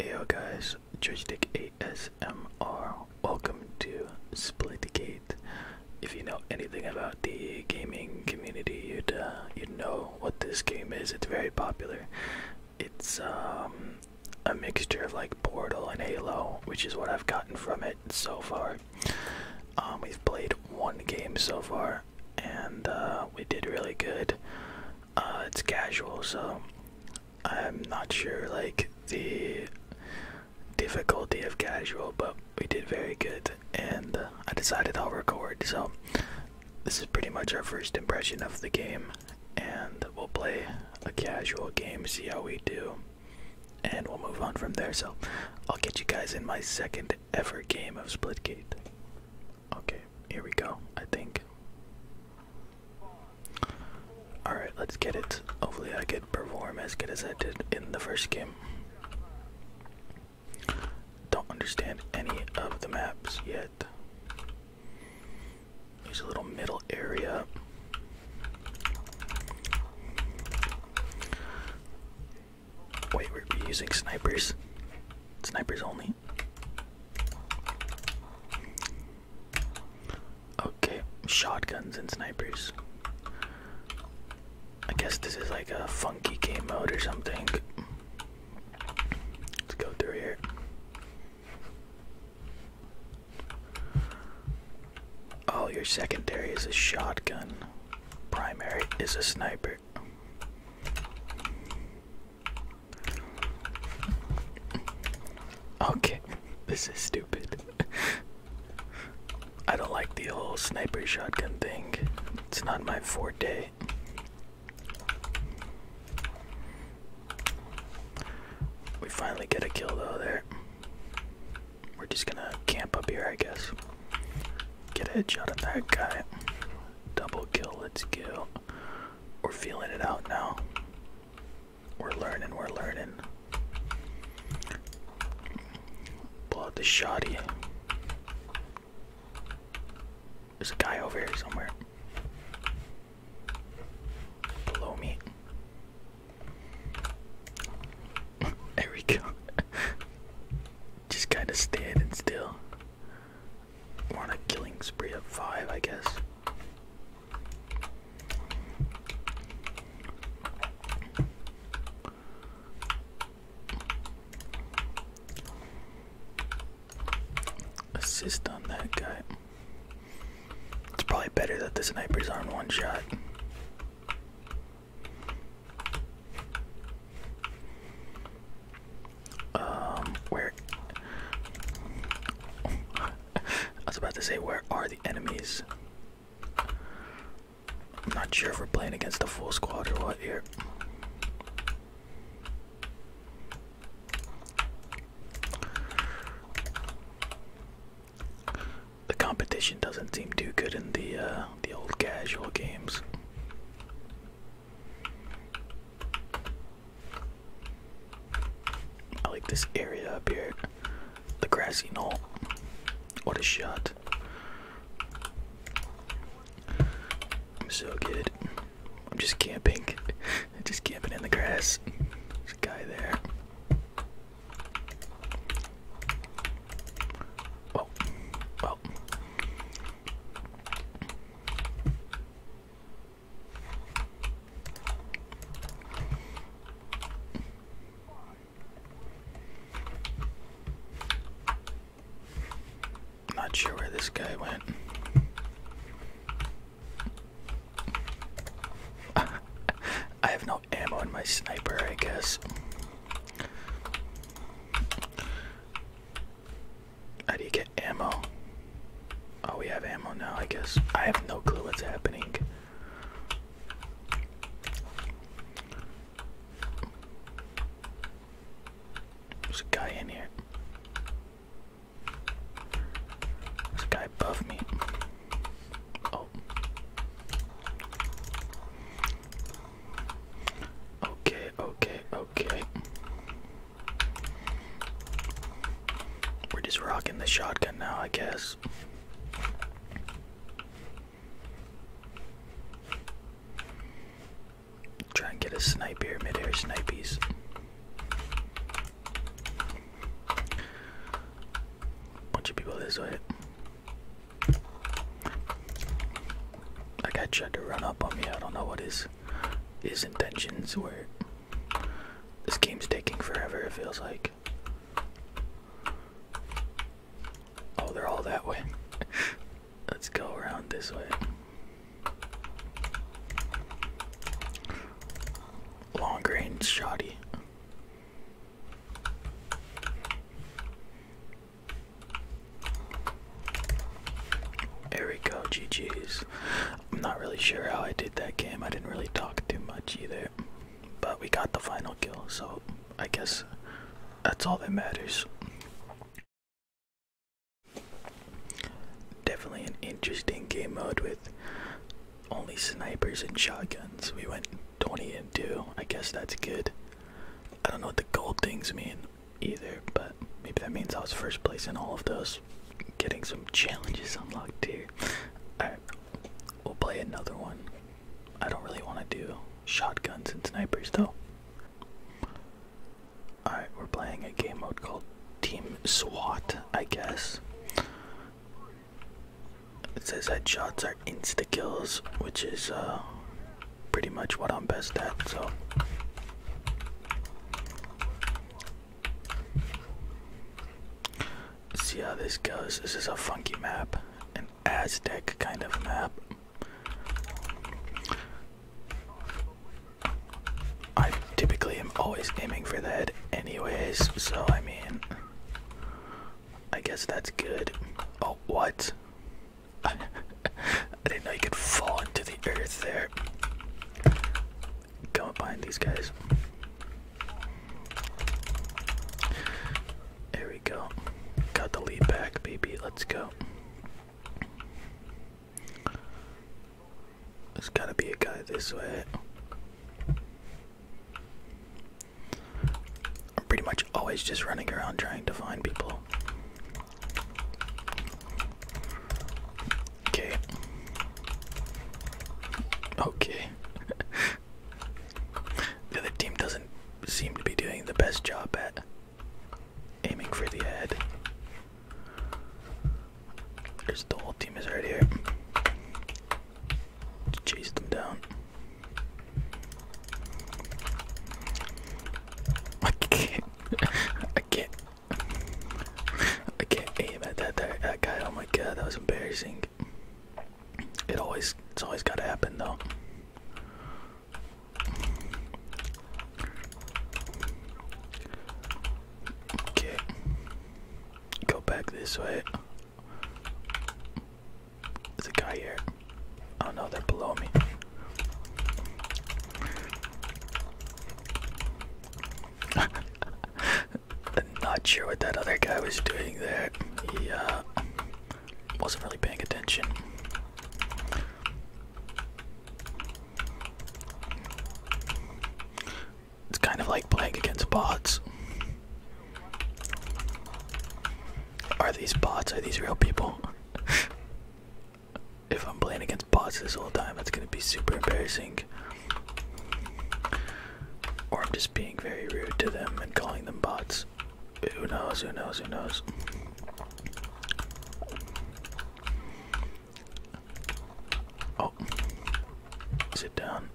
Heyo guys, Joystick ASMR. Welcome to Splitgate. If you know anything about the gaming community, you'd uh, you'd know what this game is. It's very popular. It's um, a mixture of like Portal and Halo, which is what I've gotten from it so far. Um, we've played one game so far, and uh, we did really good uh, it's casual, so I'm not sure like the difficulty of casual, but we did very good, and uh, I decided I'll record. So this is pretty much our first impression of the game, and we'll play a casual game, see how we do, and we'll move on from there. So I'll get you guys in my second ever game of Splitgate. Okay, here we go, I think. Alright, let's get it. Hopefully I can perform as good as I did in the first game. Don't understand any of the maps yet. There's a little middle area. Wait, we're using snipers. Snipers only. Okay, shotguns and snipers. I guess this is like a funky game mode or something. Let's go through here. Oh, your secondary is a shotgun, primary is a sniper. Okay, this is stupid. I don't like the whole sniper shotgun thing. It's not my forte. We finally get a kill though there. We're just gonna camp up here, I guess. Get a headshot on that guy. Double kill, let's kill. We're feeling it out now. We're learning, we're learning. Pull the shoddy. There's a guy over here somewhere. Below me. there we go. Just kind of standing still. We're on a killing spree of five, I guess. Assist on that guy. It's probably better that the sniper's on one shot. Um, where? I was about to say, where are the enemies? I'm not sure if we're playing against the full squad or what here. The competition doesn't seem too good in the uh, the old casual games. I like this area up here. The grassy knoll. What a shot. I'm so good. I'm just camping. just camping in the grass. There's a guy there. Oh. Well, well. Not sure where this guy went. I have no ammo in my sniper, I guess. How do you get ammo? Oh, we have ammo now, I guess. I have no clue what's happening. There's a guy in here. There's a guy above me. Oh. Okay, okay, okay. We're just rocking the shotgun now, I guess. Try and get a snipe here, midair snipies. Bunch of people this way. I got tried to run up on me, I don't know what is his intentions were this game's taking forever it feels like oh they're all that way let's go around this way long range shoddy there we go, GG's. I'm not really sure how I did that game. I didn't really talk too much either. But we got the final kill, so I guess that's all that matters. Definitely an interesting game mode with only snipers and shotguns. We went 20 and 2. I guess that's good. I don't know what the gold things mean either, but maybe that means I was first place in all of those. Getting some challenges unlocked here. Alright, we'll play another one. I don't really want to do shotguns and snipers though. Alright, we're playing a game mode called Team SWAT, I guess. It says headshots are insta kills, which is uh pretty much what I'm best at, so see how this goes. This is a funky map, an Aztec kind of map. I typically am always aiming for the head, anyways, so I mean, I guess that's good. Oh, what? I didn't know you could fall into the earth there. go behind these guys. There we go. Got the lead back, baby. Let's go. There's gotta be a guy this way. I'm pretty much always just running around trying to find people. Okay. Okay. the other team doesn't seem to be doing the best job at aiming for the head. There's the whole team is right here. Chase them down. I can't I can't. I can't aim at that, that guy. Oh my god, that was embarrassing. It always it's always gotta happen though. Okay. Go back this way. There's a guy here. Oh no, they're below me. Not sure what that other guy was doing there. He uh, wasn't really paying attention. It's kind of like playing against bots. Are these bots? Are these real people? if I'm playing against bots this whole time, it's gonna be super embarrassing. Or I'm just being very rude to them and calling them bots. Who knows? Who knows? Who knows? Oh, sit down.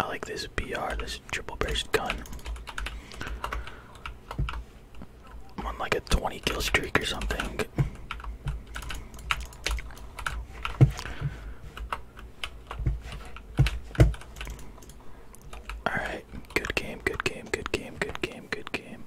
I like this BR, this triple braced gun. I'm on like a 20 kill streak or something. Alright, good game, good game, good game, good game, good game.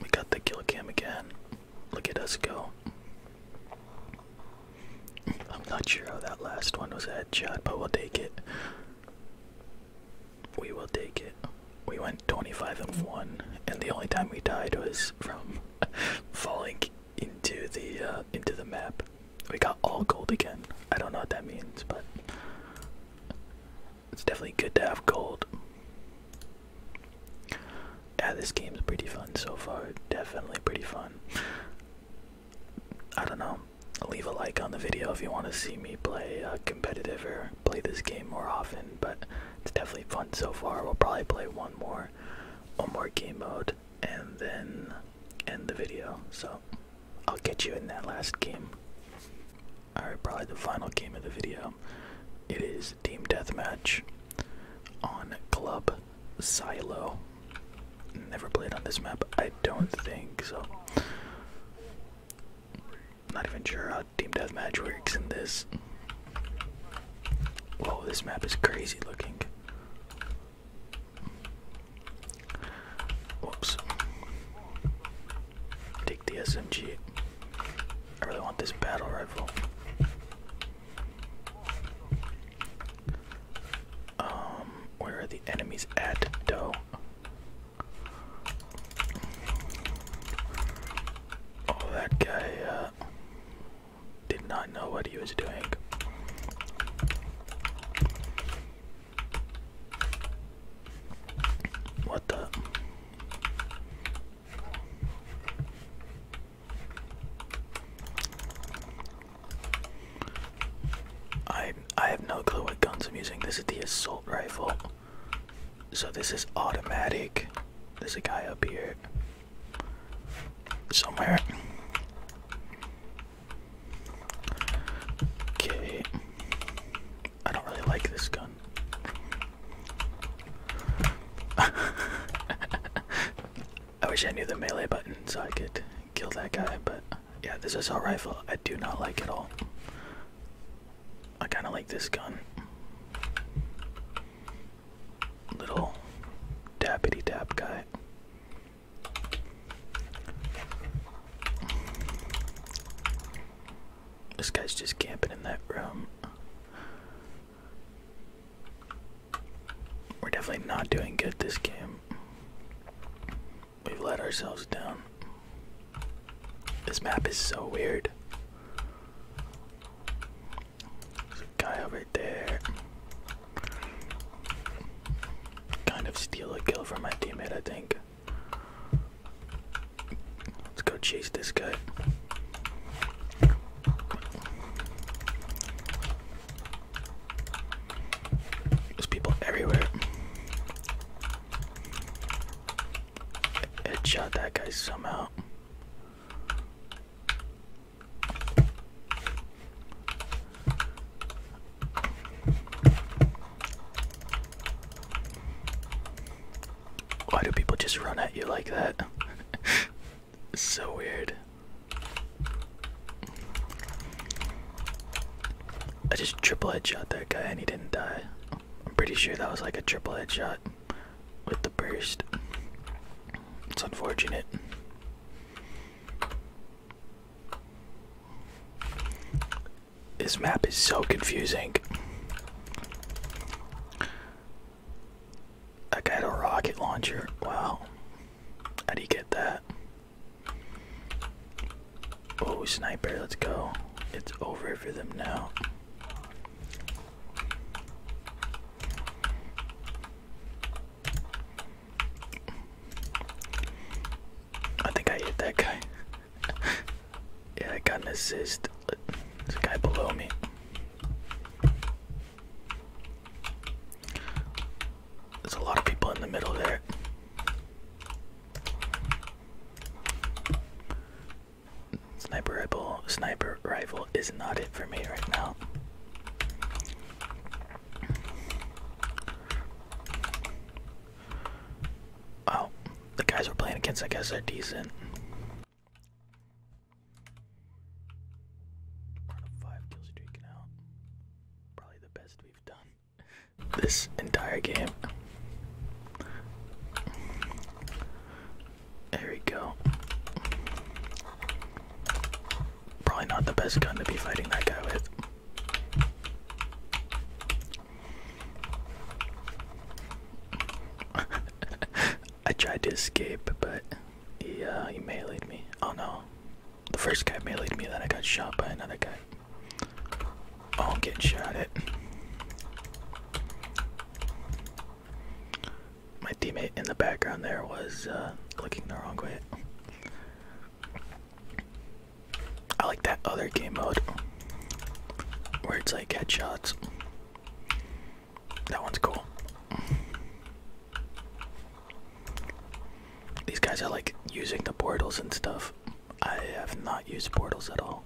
We got the kill cam again. Look at us go. I'm not sure how that last one was a headshot, but we'll take it. We will take it. We went 25 and 1, and the only time we died was from falling into the uh, into the map. We got all gold again. I don't know what that means, but it's definitely good to have gold. Yeah, this game's pretty fun so far. Definitely pretty fun. I don't know. Leave a like on the video if you want to see me play uh, competitive or play this game more often. But it's definitely fun so far. We'll probably play one more, one more game mode, and then end the video. So I'll get you in that last game. Alright, probably the final game of the video. It is Team Deathmatch on Club Silo. Never played on this map, I don't think so. Not even sure how Team Deathmatch works in this. Whoa, this map is crazy looking. Whoops. Take the SMG. I really want this battle rifle. Um, where are the enemies at, though? Oh, that guy uh, did not know what he was doing. What the? I I have no clue what guns I'm using. This is the assault rifle. So this is automatic. There's a guy up here somewhere. Okay. I don't really like this gun. I wish I knew the melee button so I could kill that guy, but yeah, this assault rifle I do not like at all. I kind of like this gun. Little dappity dap guy. This guy's just camping in that room. We're definitely not doing good this game. We've let ourselves down. This map is so weird. There's a guy over there. Kind of steal a kill from my teammate, I think. Let's go chase this guy. There's people everywhere. Headshot that guy somehow. Why do people just run at you like that? so weird. I just triple headshot that guy and he didn't die. I'm pretty sure that was like a triple headshot with the burst. It's unfortunate. This map is so confusing. I got a rocket launcher. Wow. How do you get that? Oh, sniper, let's go. It's over for them now. I think I hit that guy yeah, I got an assist. This guy below me. There's a lot of people in the middle there. Sniper rifle, sniper rifle is not it for me right now. Oh, the guys we're playing against, I guess, are decent we five kill streak now. Probably the best we've done this entire game. There we go. Probably not the best gun to be fighting that guy with. I tried to escape, but he, uh, he meleeed me. Oh no. The first guy meleeed me, then I got shot by another guy. Oh, I'm getting shot at. My teammate in the background there was uh, clicking the wrong way. I like that other game mode where it's like headshots. That one's cool. These guys are like using the portals and stuff. I have not used portals at all.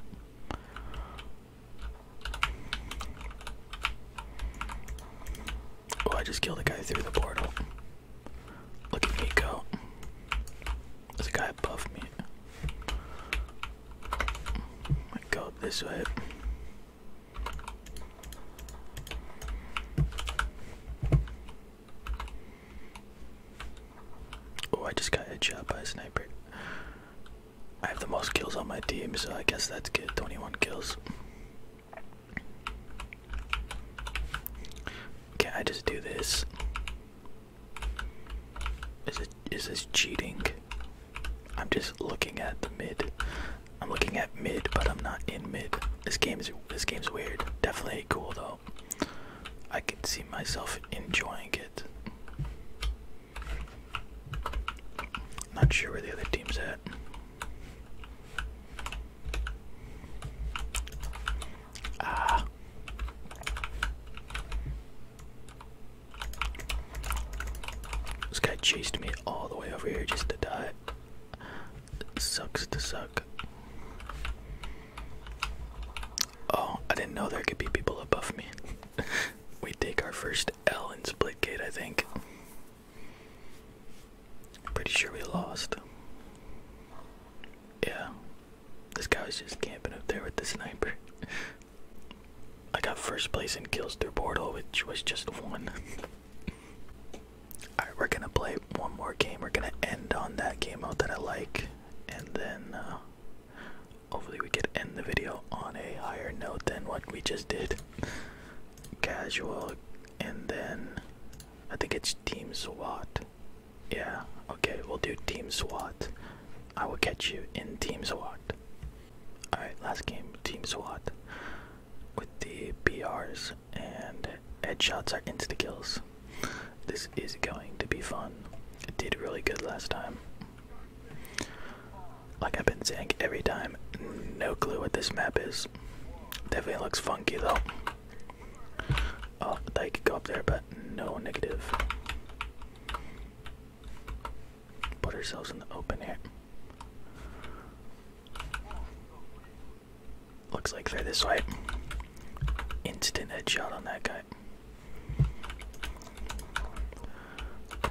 Oh, I just killed a guy through the portal. Look at me go. There's a guy above me. My God! this way. Oh, I just got headshot by a sniper. I have the most kills on my team, so I guess that's good. 21 kills. Can I just do this? Is it is this cheating? I'm just looking at the mid. I'm looking at mid, but I'm not in mid. This game this game's weird. Definitely cool though. I can see myself enjoying it. Not sure where the other team's at. Ah. This guy chased me all the way over here just to die. sucks to suck. Oh, I didn't know there could be people above me. we take our first L in Gate, I think. pretty sure we lost. Yeah. This guy was just camping up there with the sniper. I got first place in kills through portal, which was just one. Alright, we're gonna play one more game. We're gonna end on that game out that I like, and then uh, hopefully we could end the video on a higher note than what we just did. Casual, and then I think it's Team SWAT. Yeah, okay, we'll do Team SWAT. I will catch you in Team SWAT. Alright, last game, Team SWAT. With the BRs and headshots are insta This is going to be fun. did really good last time. Like I've been saying every time, no clue what this map is. Definitely looks funky though. Oh, they could go up there, but no negative. Put ourselves in the open here. Looks like they're this way. Instant headshot on that guy.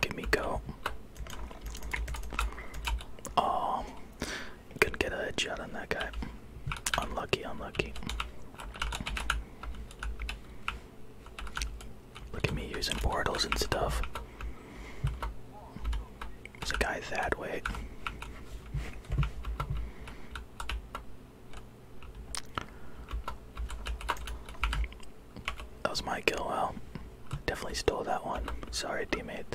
Give me go. Oh, couldn't get a headshot on that guy. Unlucky, unlucky. Look at me using portals and stuff. There's a guy that way. That was my kill. Well, definitely stole that one. Sorry, teammate.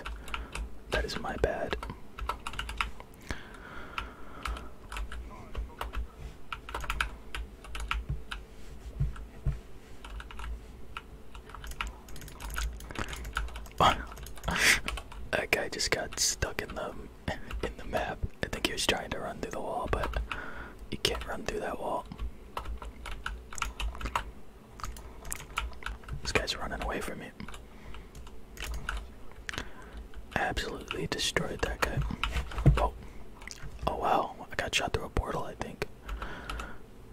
That is my bad. Oh. that guy just got stuck in the in the map. I think he was trying to run through the wall, but you can't run through that wall. This guy's running away from me. Absolutely destroyed that guy. Oh, oh wow! I got shot through a portal, I think.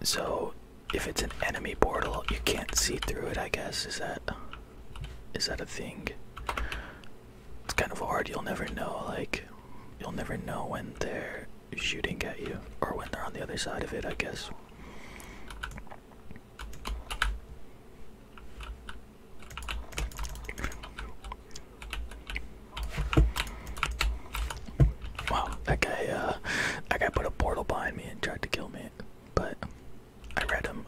So, if it's an enemy portal, you can't see through it. I guess is that is that a thing? It's kind of hard. You'll never know. Like, you'll never know when they're shooting at you or when they're on the other side of it. I guess. Wow, that guy, uh, that guy put a portal behind me and tried to kill me, but I read him.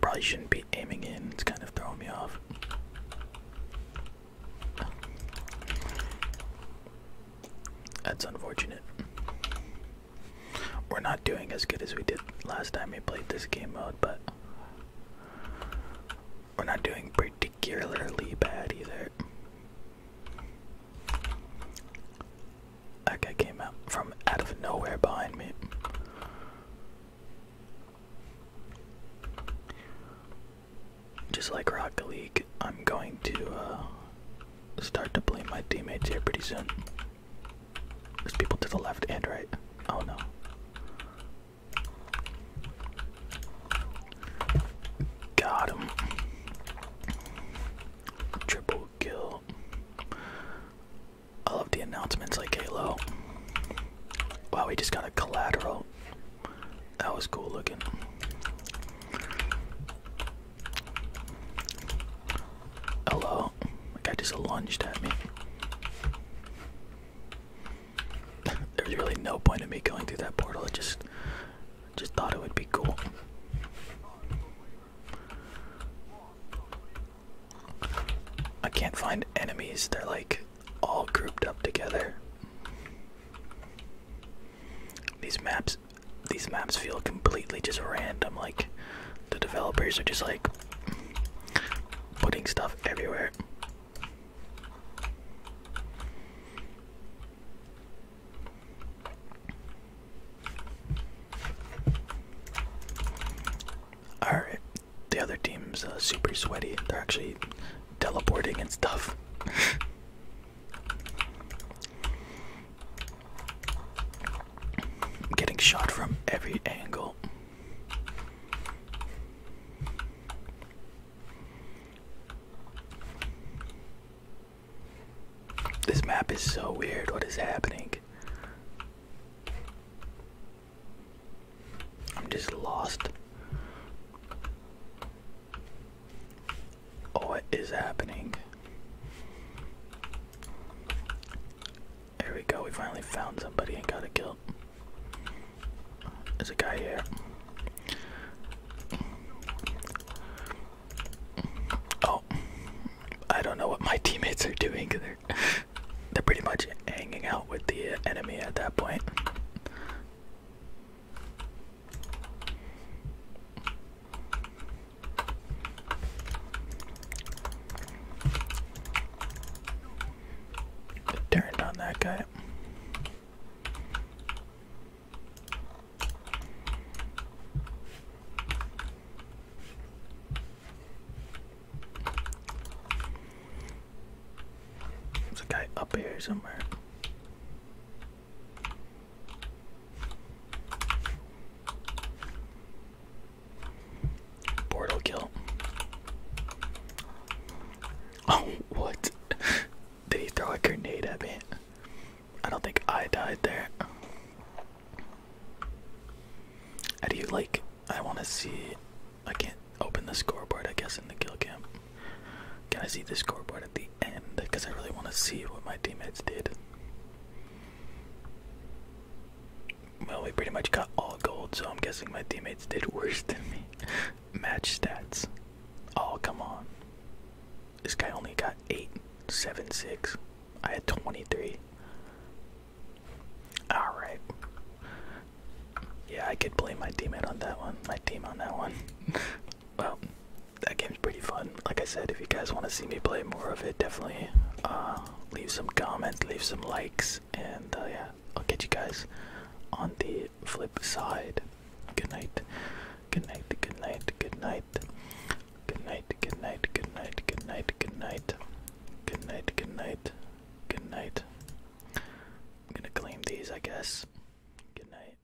Probably shouldn't be aiming in, it's kind of throwing me off. That's unfortunate. We're not doing as good as we did last time we played this game mode, but we're not doing particularly bad either. That guy came out from out of nowhere behind me. Just like Rocket League, I'm going to uh, start to blame my teammates here pretty soon. There's people to the left and right. Oh no. Got him. Triple kill. I love the announcements like Halo. Wow, we just got a collateral. That was cool looking. Hello. My guy just lunged at me. There's really no point in me going through that portal. I just just thought it would be cool. I can't find enemies. They're like all grouped up together. These maps these maps feel completely just random. Like the developers are just like putting stuff everywhere. All right, the other team's uh, super sweaty. They're actually teleporting and stuff. getting shot from every angle. This map is so weird. What is happening? I'm just lost. What is happening? There we go, we finally found somebody and got a kill. There's a guy here. Oh, I don't know what my teammates are doing. They're, they're pretty much hanging out with the enemy at that point. It turned on that guy. There's a guy up here somewhere. Portal kill. Oh, what? Did he throw a grenade at me? I don't think I died there. How do you like? I want to see. I can't open the scoreboard, I guess, in the kill cam. Can I see the scoreboard at the and because I really want to see what my teammates did. Well, we pretty much got all gold, so I'm guessing my teammates did worse than me. Match stats. Oh, come on. This guy only got 8, 7, 6. I had 23. Alright. Yeah, I could blame my teammate on that one. My team on that one. well, that game's pretty fun. Like I said, if you guys want to see me play more of it, definitely uh, leave some comments, leave some likes, and uh, yeah, I'll catch you guys on the flip side. Good night. Good night. Good night. Good night. Good night. Good night. Good night. Good night. Good night. Good night. Good night. Good night. I'm gonna claim these, I guess. Good night.